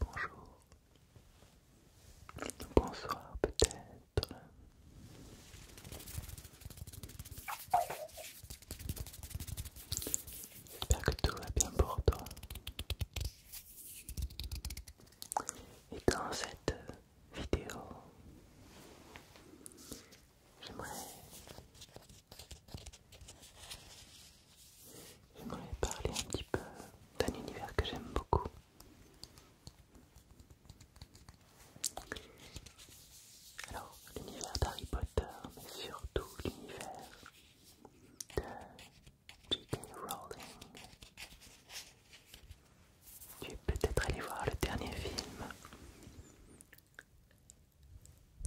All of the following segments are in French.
Bonjour, bonsoir peut-être. J'espère que tout va bien pour toi. Et dans cette vidéo, j'aimerais parler un petit peu d'un univers que j'aime beaucoup. Alors, l'univers d'Harry Potter, mais surtout l'univers de Rowling. Tu es peut-être allé voir le dernier film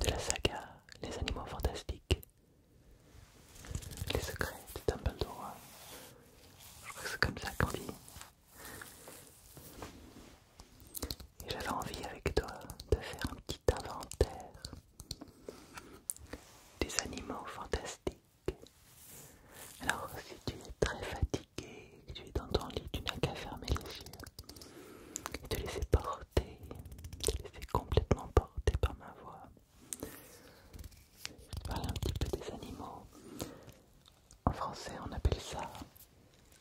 de la saga Les Animaux Fantastiques, Les Secrets de Dumbledore. Je crois que c'est comme ça qu'on vit Et j'avais envie avec toi de faire un petit inventaire des animaux fantastiques alors, si tu es très fatigué que tu es dans ton lit, tu n'as qu'à fermer les yeux et te laisser porter, te laisser complètement porter par ma voix. Je vais te parler un petit peu des animaux. En français, on appelle ça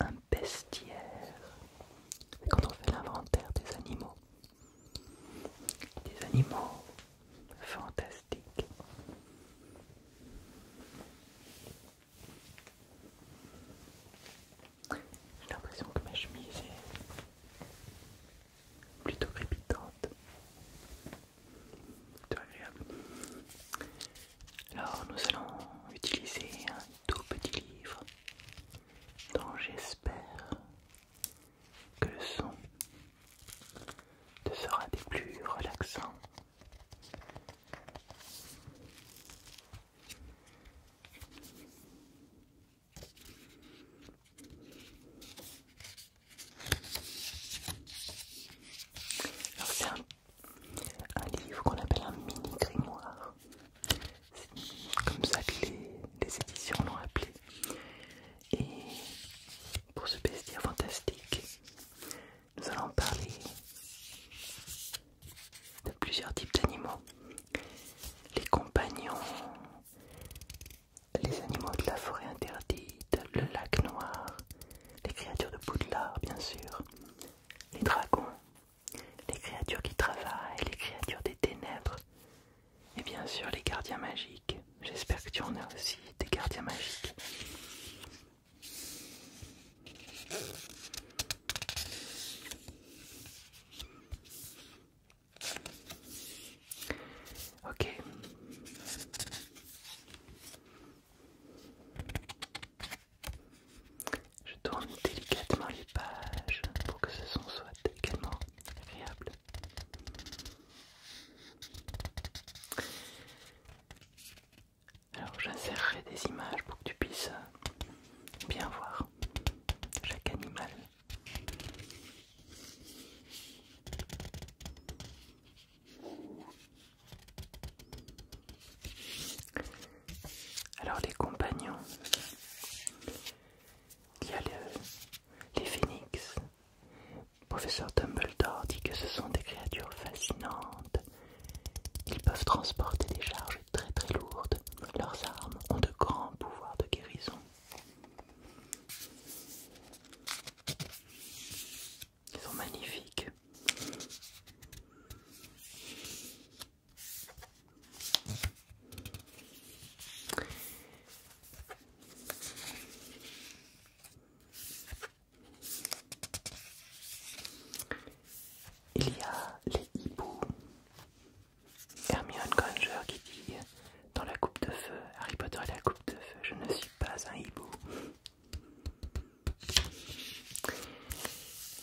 un bestiaire. C'est quand on fait l'inventaire des animaux des animaux fantastiques. J'ai l'impression que ma chemise est plutôt crépitante. agréable. Alors nous allons utiliser un tout petit livre dont j'espère que le son te sera des plus relaxants. Alors c'est un, livre qu'on appelle un mini grimoire. Comme ça que les éditions l'ont appelé. Et pour ce bestiaire fantastique, nous allons parler de plusieurs types d'animaux. Les compagnons, les animaux de la forêt interdite, le lac noir, les créatures de Poudlard bien sûr, les dragons, les créatures qui travaillent, les créatures des ténèbres et bien sûr les gardiens magiques. J'espère que tu en as aussi des gardiens magiques. Ok. Je tourne délicatement les pages pour que ce son soit également agréable. Alors j'insérerai des images pour que tu puisses bien voir chaque animal. Alors les compagnons, il y a les phénix. Professeur Dumbledore dit que ce sont des créatures fascinantes. Ils peuvent transporter des charges très très lourdes. Leurs armes ont de grands pouvoirs de guérison. Ils sont magnifiques. Il y a les hiboux. Hermione Granger qui dit dans la coupe de feu, Harry Potter et la coupe de feu, je ne suis pas un hibou.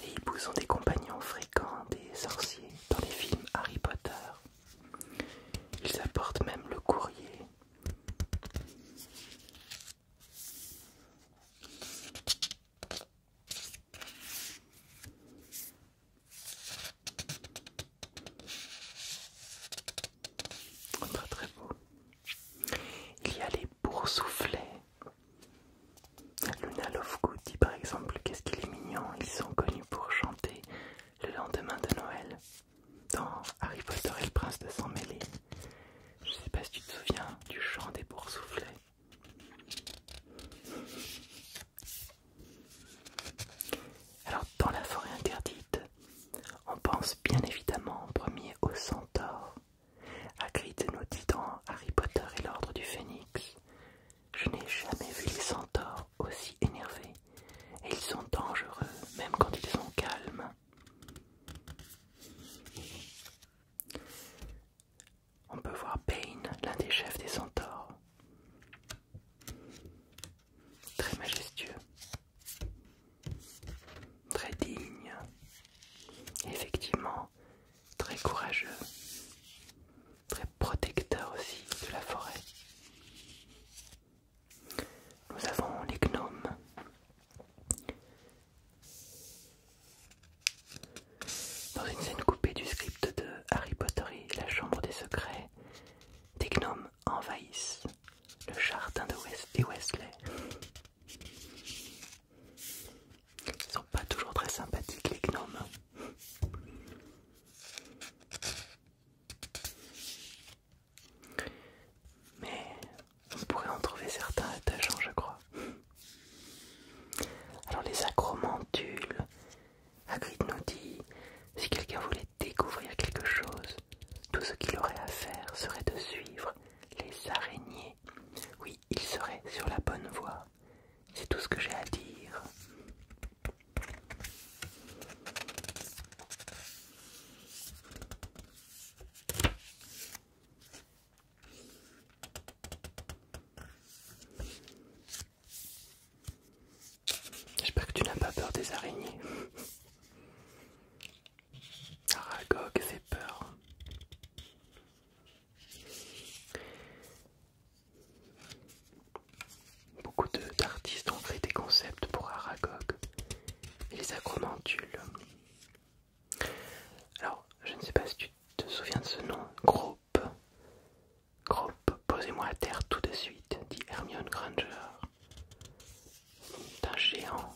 Les hiboux sont des compagnons fréquents des sorciers dans les films Harry Potter. Ils apportent même le courrier. très très beau. Il y a les boursoufflets. Luna Lovegood dit par exemple qu'est-ce qu'il est mignon, ils sont connus pour chanter le lendemain de Noël dans Harry Potter et le prince de sang mêlé. Je sais pas si tu te souviens du chant des boursouflés. Alors dans la forêt interdite, on pense bien évidemment en premier au centaure. Hagrid nous dit dans Harry Potter et l'ordre du phénix, je n'ai jamais vu les centaures, aussi énervés et ils sont dangereux même quand ils sont calmes. On peut voir Payne, l'un des chefs des centaures. Très majestueux, très digne, effectivement très courageux très protecteur aussi de la forêt. Nous avons les gnomes. Dans une scène coupée du script de Harry Potter et la Chambre des Secrets, des gnomes envahissent le jardin de West et Wesley. Ils sont pas toujours très sympathiques les gnomes. Mais on pourrait en trouver certains attachants, je crois. Alors les acromantules, Agrit nous dit, si quelqu'un voulait découvrir quelque chose, tout ce qu'il aurait à faire serait de suivre les araignées. Oui, il serait sur la bonne voie. C'est tout ce que j'ai à dire. J'espère que tu n'as pas peur des araignées. Aragog fait peur. Beaucoup d'artistes ont créé des concepts pour Aragog et les acromantules. Alors, je ne sais pas si tu te souviens de ce nom, Groupe. Groupe, posez-moi à terre tout de suite, dit Hermione Granger. un géant.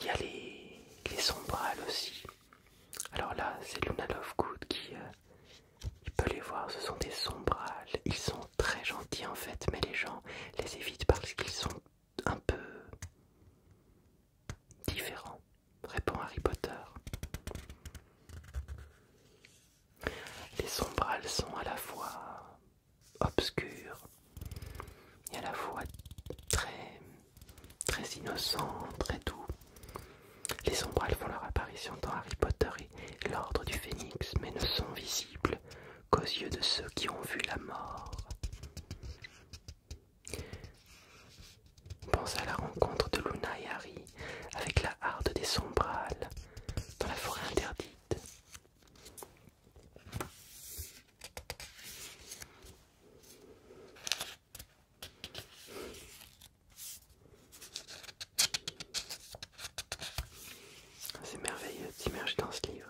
Il y a les, les sombrales aussi. Alors là, c'est Luna Lovegood qui, euh, il peut les voir, ce sont des sombrales. Ils sont très gentils en fait, mais les gens les évitent parce qu'ils sont un peu différents, répond Harry Potter. Les sombrales sont à la fois obscurs et à la fois très, très innocents, très doux. Les sombrales font leur apparition dans Harry Potter et l'Ordre du Phénix, mais ne sont visibles qu'aux yeux de ceux qui ont vu la mort. Pense à la rencontre de Luna et Harry avec la harde des sombrales dans la forêt interdite. Ah, c'est merveilleux d'immerger dans ce livre.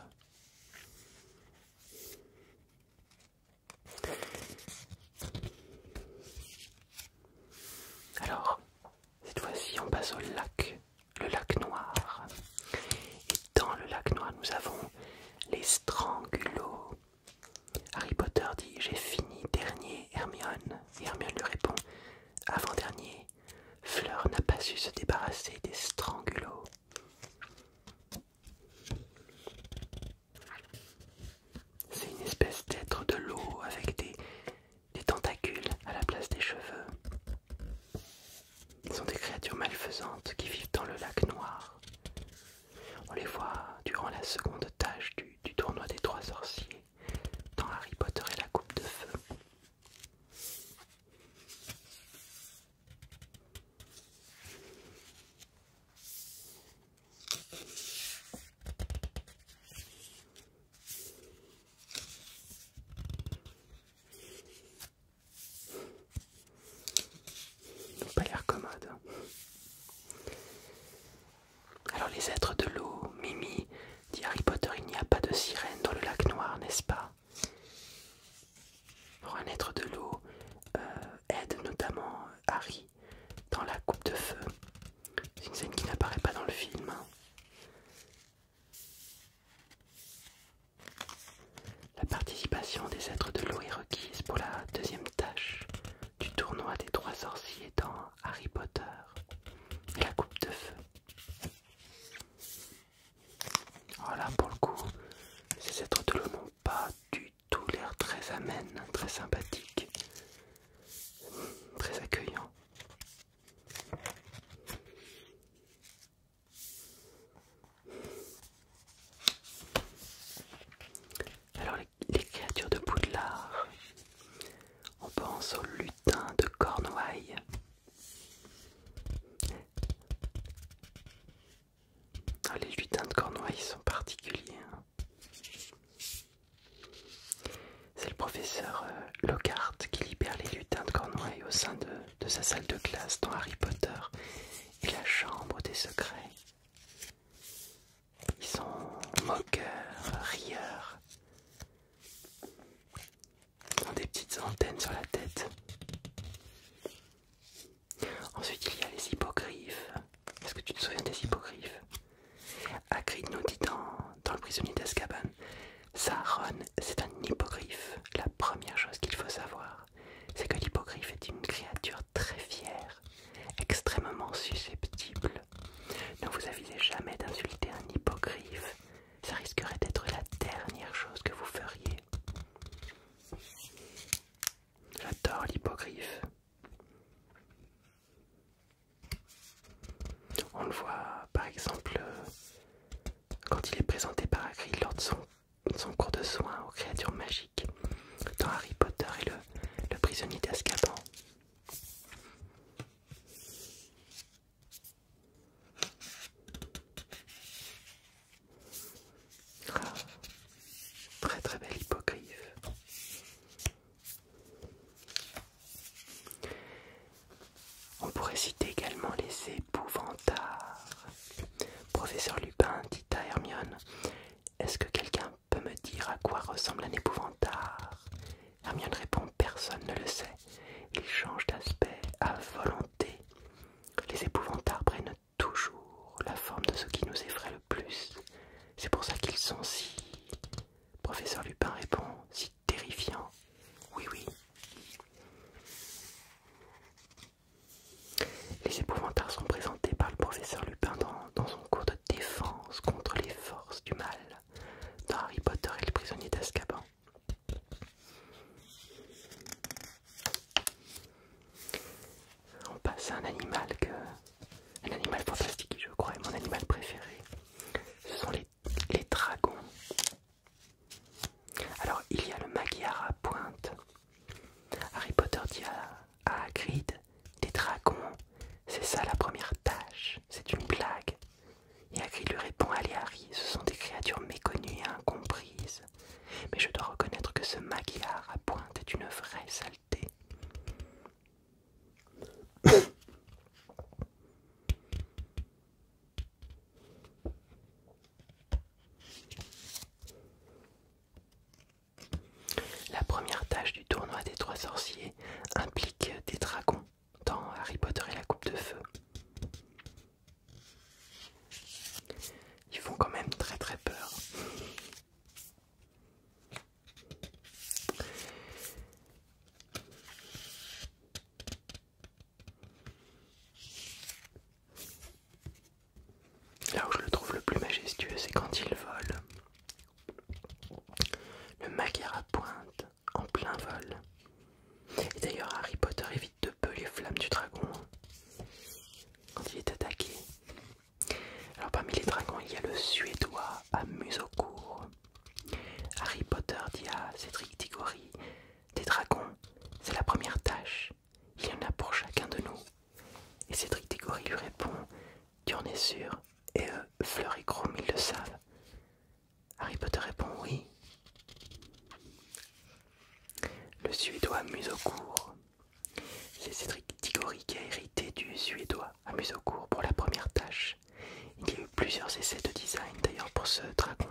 Alors, cette fois-ci, on passe au lac, le lac noir. Et dans le lac noir, nous avons les strangulots. Harry Potter dit J'ai fini dernier, Hermione. Et Hermione lui répond Avant-dernier, Fleur n'a pas su se débarrasser des strangulots. C'est une espèce d'être de l'eau avec des, tentacules à la place des cheveux. Ils sont des créatures malfaisantes qui vivent dans le lac noir. On les voit durant la seconde tâche du, tournoi des trois sorciers dans Harry Potter et la coupe de feu. n'ont pas l'air commode. Hein. Alors les êtres de l'eau, Mimi, dit Harry Potter, il n'y a pas de sirène dans le lac noir, n'est-ce pas un être de l'eau euh, aide notamment Harry dans la coupe de feu. C'est une scène qui n'apparaît pas dans le film. La participation des êtres de l'eau est requise pour la deuxième tâche du tournoi des trois sorciers dans Harry Potter et la coupe de feu. Voilà pour le coup, ces êtres de pas du tout l'air très amène, très sympathique, très accueillant. Alors les créatures de Poudlard. On pense aux lutins de Cornouailles. Ah, les lutins de Cornouailles sont particuliers. Hein. C'est le professeur euh, Lockhart qui libère les lutins de Cornouailles au sein de, de sa salle de classe dans Harry Potter et la chambre des secrets. Ils sont moqueurs, rieurs. Ils ont des petites antennes sur la tête. Ensuite, il y a les hippogriffes. Est-ce que tu te souviens des hippogriffes Hagrid nous dit dans, Le prisonnier d'Azkaban Saron, c'est un hippogriffe. La première chose qu'il faut savoir, c'est que l'hippogriffe est une créature très fier, extrêmement susceptible. Ne vous avisez jamais d'insulter un hippogriffe, ça risquerait d'être la dernière chose que vous feriez. J'adore l'hippogriffe. On le voit par exemple euh, quand il est présenté par Hagrid lors de son, son cours de soins aux créatures magiques dans Harry Potter et le le prisonnier d'escapant ah, très très belle hypocrite. On pourrait citer également les épouvantards. Professeur Lupin dit à Hermione Est-ce que quelqu'un peut me dire à quoi ressemble un épouvantard Hermione répond Personne ne le sait. Il change d'aspect à volonté. Les épouvantards prennent toujours la forme de ce qui nous effraie le plus. C'est pour ça qu'ils sont si. Professeur Lupin répond Si terrifiant. Oui, oui. Les épouvantards sont présentés par le professeur Lupin dans, son cours de défense contre les forces du mal dans Harry Potter et le prisonnier d'Azkaban. On passe à un animal que... Un animal fantastique, je crois, mon animal préféré. Ce sont les, dragons. Alors, il y a le Magyar à pointe Harry Potter dit à, Agrid, des dragons, c'est ça la première tâche, c'est une blague. Et Hagrid lui répond Allez, Harry, ce sont des créatures méconnues et incomprises. Mais je dois reconnaître que ce maquillard à pointe est une vraie saleté. La première tâche du tournoi des trois sorciers implique des dragons dans Harry Potter et la coupe de feu. Ils font quand même très très peur. Là où je le trouve le plus majestueux, c'est quand il vole. Le macaire à pointe, en plein vol. Et d'ailleurs, Harry Potter évite de peu les flammes du dragon hein, quand il est attaqué. Alors parmi les dragons, il y a le Suédois à court. Harry Potter dit à Cédric Digori. des dragons, c'est la première tâche il y en a pour chacun de nous. Et Cédric tigori lui répond Tu en es sûr Et euh, Fleur et ils le savent. Harry Potter répond Oui. Le Suédois court. C'est Cédric Diggory qui a hérité du Suédois à court pour la première tâche. Il y a eu plusieurs essais de design d'ailleurs pour ce dragon,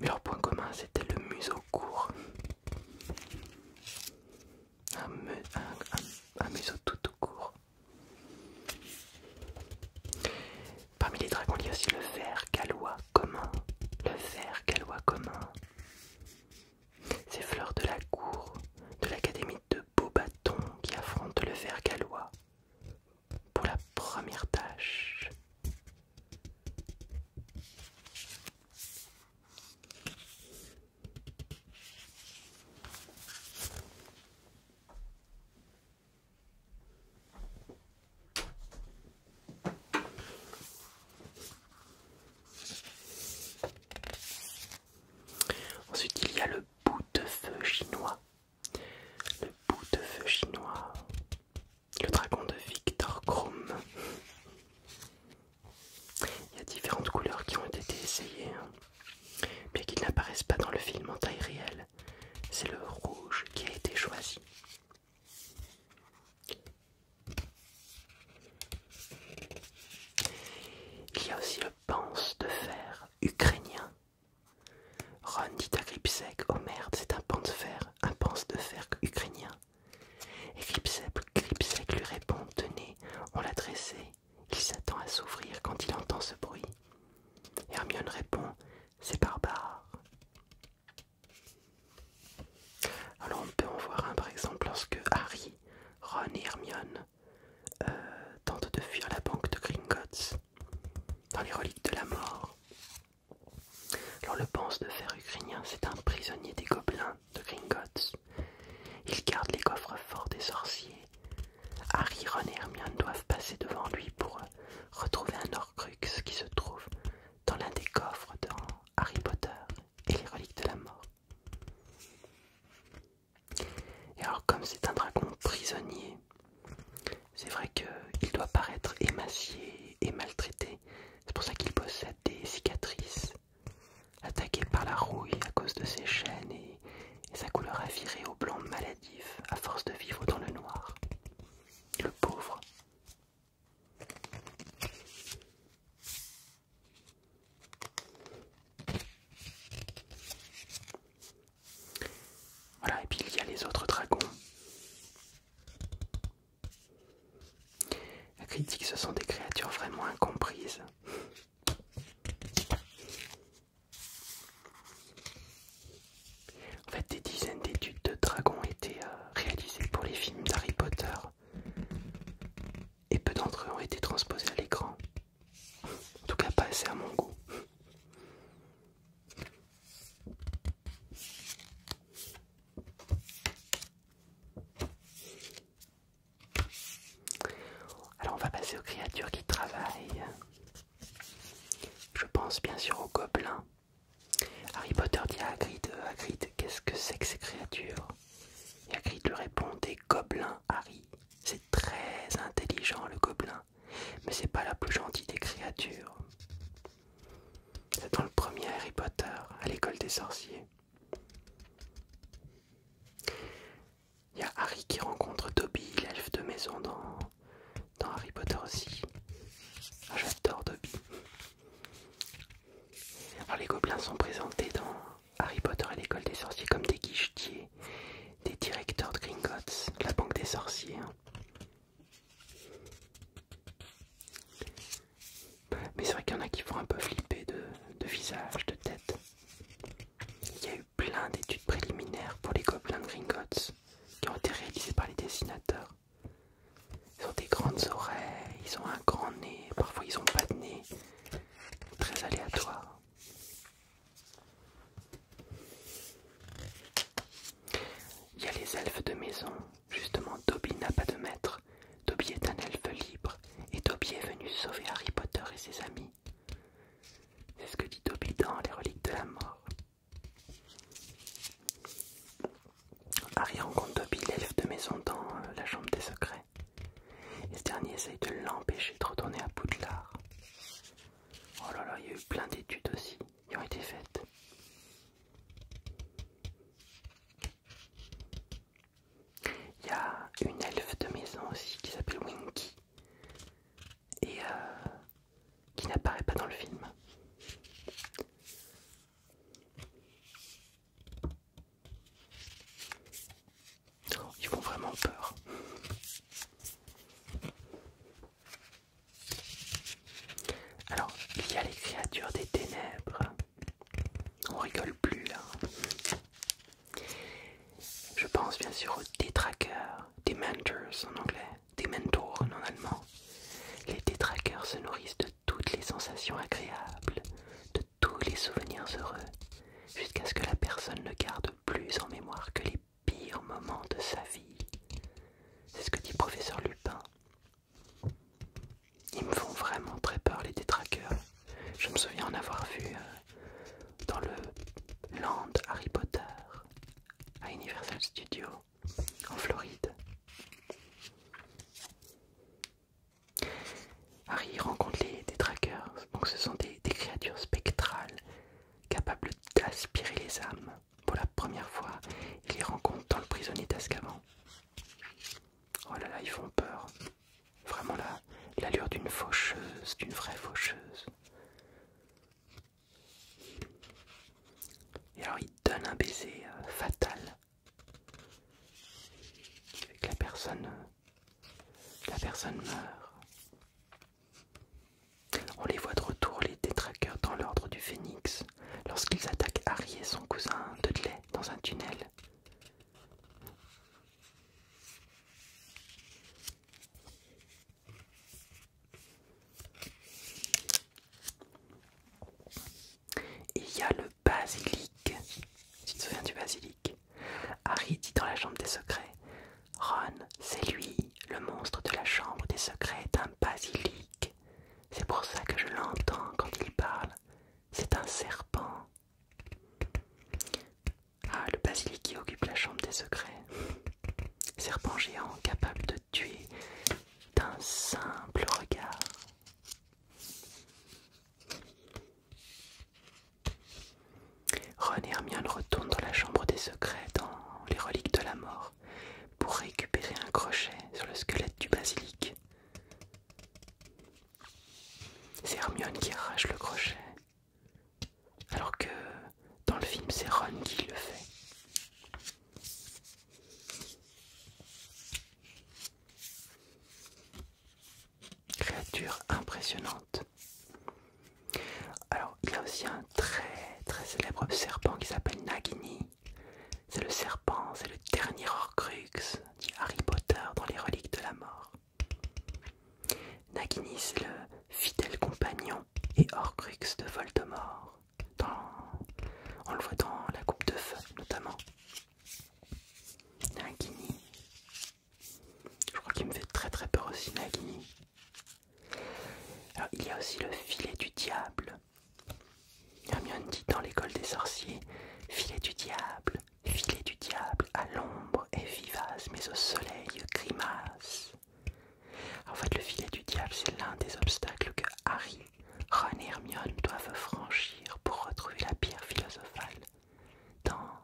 mais leur point commun c'était le museau court. Un, tout court. Parmi les dragons, il y a aussi le ver gallois commun. Le ver gallois commun. Ces fleurs de la cour de l'académie de Beaubaton qui affronte le ver gallois pour la première tâche. Ensuite, il y a le bout de feu chinois. Le bout de feu chinois le dragon de Victor Krum. Il y a différentes couleurs qui ont été essayées, mais hein. bien qu'ils n'apparaissent pas dans le film en taille réelle. C'est le rouge qui a été choisi. Il y a aussi le panse de fer ukrainien. Ron dit à oh merde, c'est un panse de fer, un panse de fer ukrainien. Et Gripsec lui répond Tenez, on l'a dressé, il s'attend à s'ouvrir quand il entend ce bruit. Hermione répond C'est barbare. Alors on peut en voir un par exemple lorsque Harry, Ron et Hermione euh, tentent de fuir la banque de Gringotts dans les reliques de la mort. Alors le pense de fer ukrainien, c'est un prisonnier des gobelins de Gringotts. Il garde les coffres forts des sorciers. Harry, Ron et Hermione doivent passer devant lui pour euh, retrouver un Orcrux qui se trouve dans l'un des coffres dans Harry Potter et les reliques de la mort. Et alors comme c'est un dragon prisonnier, c'est vrai qu'il doit paraître émacié et maltraité. C'est pour ça qu'il possède des cicatrices attaquées par la rouille à cause de ses chaînes et, sa couleur avirée au blanc maladif à force de vivre dans le noir. Le pauvre. Voilà, et puis il y a les autres dragons. La critique, ce sont des créatures vraiment incomprises. En fait, des dizaines d'études de dragons été euh, réalisées pour les films d'Harry Potter. Et peu d'entre eux ont été transposés à l'écran. En tout cas, pas assez à mon goût. Alors on va passer aux créatures qui travaillent. Je pense bien sûr aux gobelins. Harry Potter dit à Hagrid, euh, qu'est-ce que c'est que ces créatures Et Hagrid lui répond, des gobelins, Harry. C'est très intelligent le gobelin, mais c'est pas la plus gentille des créatures. C'est dans le premier Harry Potter, à l'école des sorciers. Il y a Harry qui rencontre Toby' l'elfe de maison dans, Harry Potter aussi. Ah, j'adore Dobby. les gobelins sont présentés dans Harry Potter à l'école des sorciers comme des guichetiers, des directeurs de Gringotts, la banque des sorciers. Hein. Mais c'est vrai qu'il y en a qui font un peu flipper de, visage, de tête. Il y a eu plein d'études préliminaires pour les gobelins de Gringotts qui ont été réalisées par les dessinateurs. Ils ont des grandes oreilles, ils ont un grand nez, parfois ils n'ont pas de nez. Très aléatoire. Il y a les elfes de maison Justement, Dobby n'a pas de maître. Dobby est un elfe libre et Dobby est venu sauver Harry Potter et ses amis. C'est ce que dit Dobby dans Les Reliques de la Mort. Harry rencontre Dobby, l'elfe de maison, dans euh, la chambre des secrets. Et ce dernier essaye de l'empêcher de retourner à Poudlard. Oh là là, il y a eu plein d'études aussi qui ont été faites. Il y a une elfe de maison aussi qui s'appelle Winky et euh, qui n'apparaît pas dans le film. Ils font vraiment peur. Alors, il y a les créatures des ténèbres. On rigole plus là. Hein. Je pense bien sûr aux détraqueurs, des mentors en anglais, des mentors en allemand. Les détraqueurs se nourrissent de toutes les sensations agréables, de tous les souvenirs heureux, jusqu'à ce que la personne ne garde plus en mémoire que les pires moments de sa vie. C'est ce que dit professeur Lupin. Ils me font vraiment très peur les détraqueurs. Je me souviens en avoir vu euh, dans le Land Harry Potter à Universal Studios en Floride. Harry rencontre les détraqueurs, donc ce sont des créatures spectrales capables d'aspirer les âmes pour la première fois, il les rencontrent dans le prisonnier d'Ascavan. Oh là là, ils font peur. Vraiment là, l'allure d'une faucheuse, d'une vraie faucheuse. Et alors il donne un baiser euh, fatal. la personne, euh, la personne meurt. On les voit de retour, les détraqueurs, dans l'ordre du phénix lorsqu'ils attaquent Harry et son cousin Dudley dans un tunnel. Il y a le basilic. Tu te souviens du basilic Harry dit dans la chambre des secrets Ron, c'est lui, le monstre de la chambre des secrets d'un un basilic. C'est pour ça que je l'entends quand il parle. C'est un serpent. Ah, le basilic qui occupe la chambre des secrets. Serpent géant capable de tuer d'un simple regard. René Hermione retourne dans la chambre des secrets dans les reliques de la mort pour récupérer un crochet sur le squelette du basilic. C'est Hermione qui arrache le crochet, alors que dans le film c'est Ron qui le fait. Créature impressionnante. Alors il y a aussi un très très célèbre serpent qui s'appelle Nagini c'est le serpent, c'est le dernier Horcrux, dit Harry Potter dans les reliques de la mort. Nagini, c'est le fidèle compagnon et Horcrux de Voldemort. On le voit dans la coupe de feu, notamment. Nagini. Je crois qu'il me fait très très peur aussi, Nagini il y a aussi le filet du diable. Hermione dit dans l'école des sorciers Filet du diable, filet du diable, à l'ombre est vivace, mais au soleil grimace. En fait, le filet du diable, c'est l'un des obstacles que Harry, Ron et Hermione doivent franchir pour retrouver la pierre philosophale dans,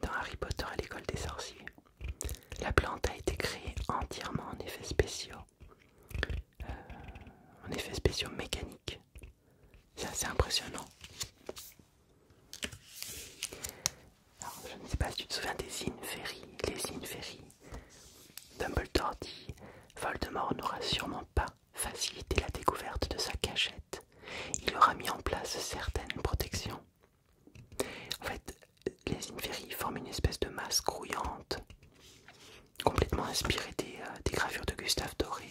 dans Harry Potter à l'école des sorciers. La plante a été créée entièrement en effets spéciaux, euh, en effets spéciaux mécaniques. C'est assez impressionnant. je ne sais pas si tu te souviens des Inferi, les Inferi. Dumbledore dit Voldemort n'aura sûrement pas facilité la découverte de sa cachette. Il aura mis en place certaines protections en fait, les Inferi forment une espèce de masse grouillante, complètement inspirée des, euh, gravures de Gustave Doré,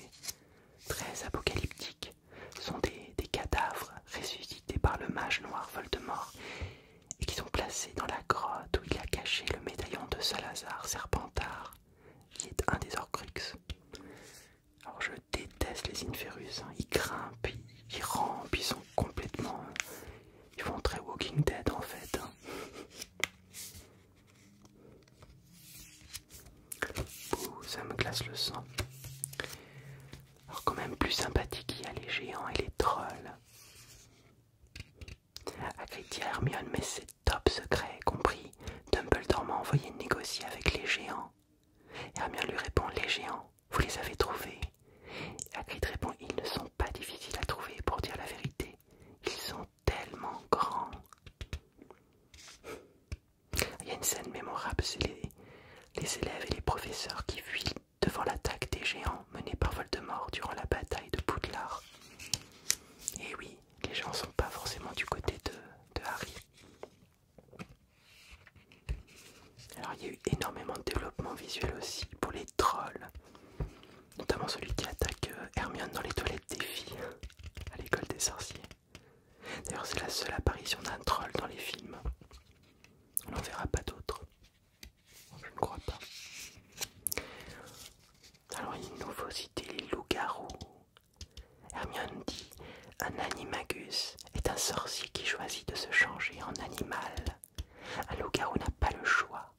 très apocalyptiques. Ce sont des, cadavres ressuscités par le mage noir Voldemort et qui sont placés dans la grotte où il a caché le médaillon de Salazar Serpentard, qui est un des Horcruxes. Alors je déteste les Inferus, hein. ils grimpent, ils rampent, ils sont complètement ils font très Walking Dead en fait. Hein. ça me glace le sang. Alors quand même plus sympathique, il y a les géants et les trolls. Hagrid Hermione, mais c'est top secret, compris. Dumbledore m'a envoyé négocier avec les géants. Hermione lui répond, les géants, vous les avez trouvés Hagrid répond Ils ne sont pas difficiles à trouver, pour dire la vérité. Ils sont tellement grands. Il y a une scène mémorable c'est les, élèves et les professeurs qui fuient devant l'attaque des géants menée par Voldemort durant la bataille de Poudlard. Et oui, les gens sont pas forcément du côté de Harry. Alors il y a eu énormément de développement visuel aussi pour les trolls, notamment celui qui attaque euh, Hermione dans les toilettes des filles à l'école des sorciers. D'ailleurs c'est la seule apparition d'un troll dans les films. On n'en verra pas d'autres. Je ne crois pas. Alors il nous faut citer les loups-garous. Hermione dit un animagus est un sorcier qui choisit de se changer en animal un loup-garou n'a pas le choix.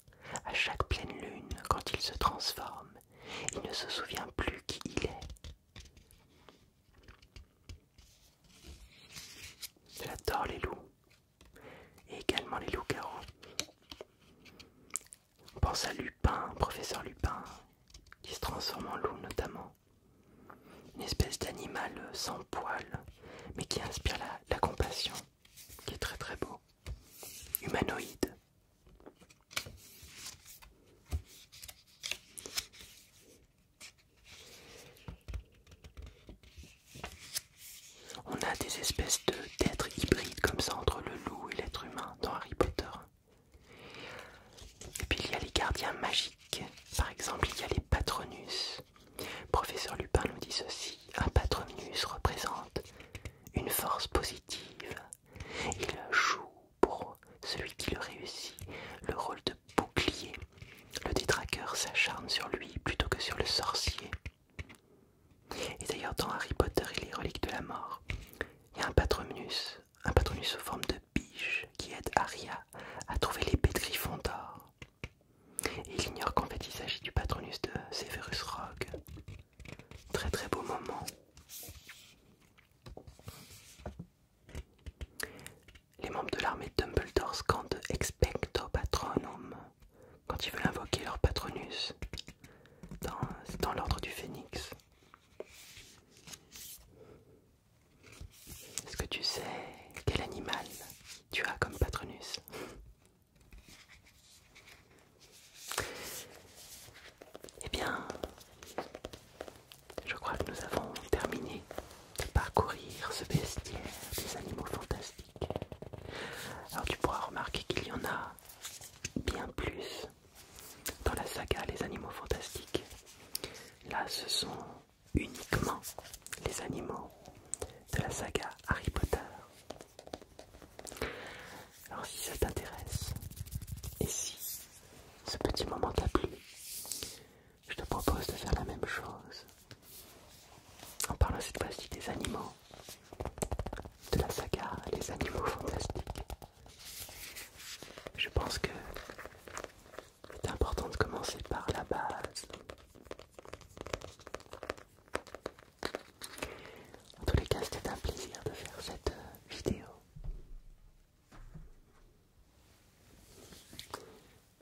À chaque pleine lune, quand il se transforme, il ne se souvient plus qui il est. J'adore les loups. Et également les loups-garous. On pense à Lupin, professeur Lupin, qui se transforme en loup notamment une espèce d'animal sans poils, mais qui inspire la, compassion, qui est très très beau, humanoïde. On a des espèces d'êtres hybrides comme ça entre le loup et l'être humain dans Harry Potter. Et puis il y a les gardiens magiques. Par exemple, il y a les patronus. Professeur Lupin nous dit ceci un patronus représente une force positive. Il joue pour celui qui le réussit le rôle de bouclier. Le détraqueur s'acharne sur lui plutôt que sur le sorcier. Et d'ailleurs, dans Harry Potter et les reliques de la mort, il y a un patronus, un patronus sous forme de biche qui aide Aria à trouver l'épée de Gryffondor il ignore qu'en fait il s'agit du patronus de Severus Rogue. Très très beau moment. Les membres de l'armée de Dumbledore scandent Expecto Patronum quand ils veulent invoquer leur patronus dans, dans l'ordre du phénix. Est-ce que tu sais quel animal tu as comme patronus Eh bien, je crois que nous avons terminé de parcourir ce bestiaire des animaux fantastiques. Alors tu pourras remarquer qu'il y en a bien plus dans la saga Les Animaux Fantastiques. Là, ce sont uniquement les animaux de la saga Harry Potter. Alors si ça t'intéresse, et si ce petit moment t'a plu, je te propose de faire la même chose en parlant cette fois-ci des animaux de la saga Les Animaux Fantastiques. Je pense que c'est important de commencer par la base. En tous les cas, c'était un plaisir de faire cette euh, vidéo.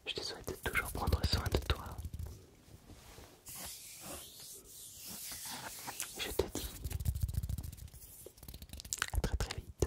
Je te souhaite de toujours prendre soin de toi. Je te dis à très très vite.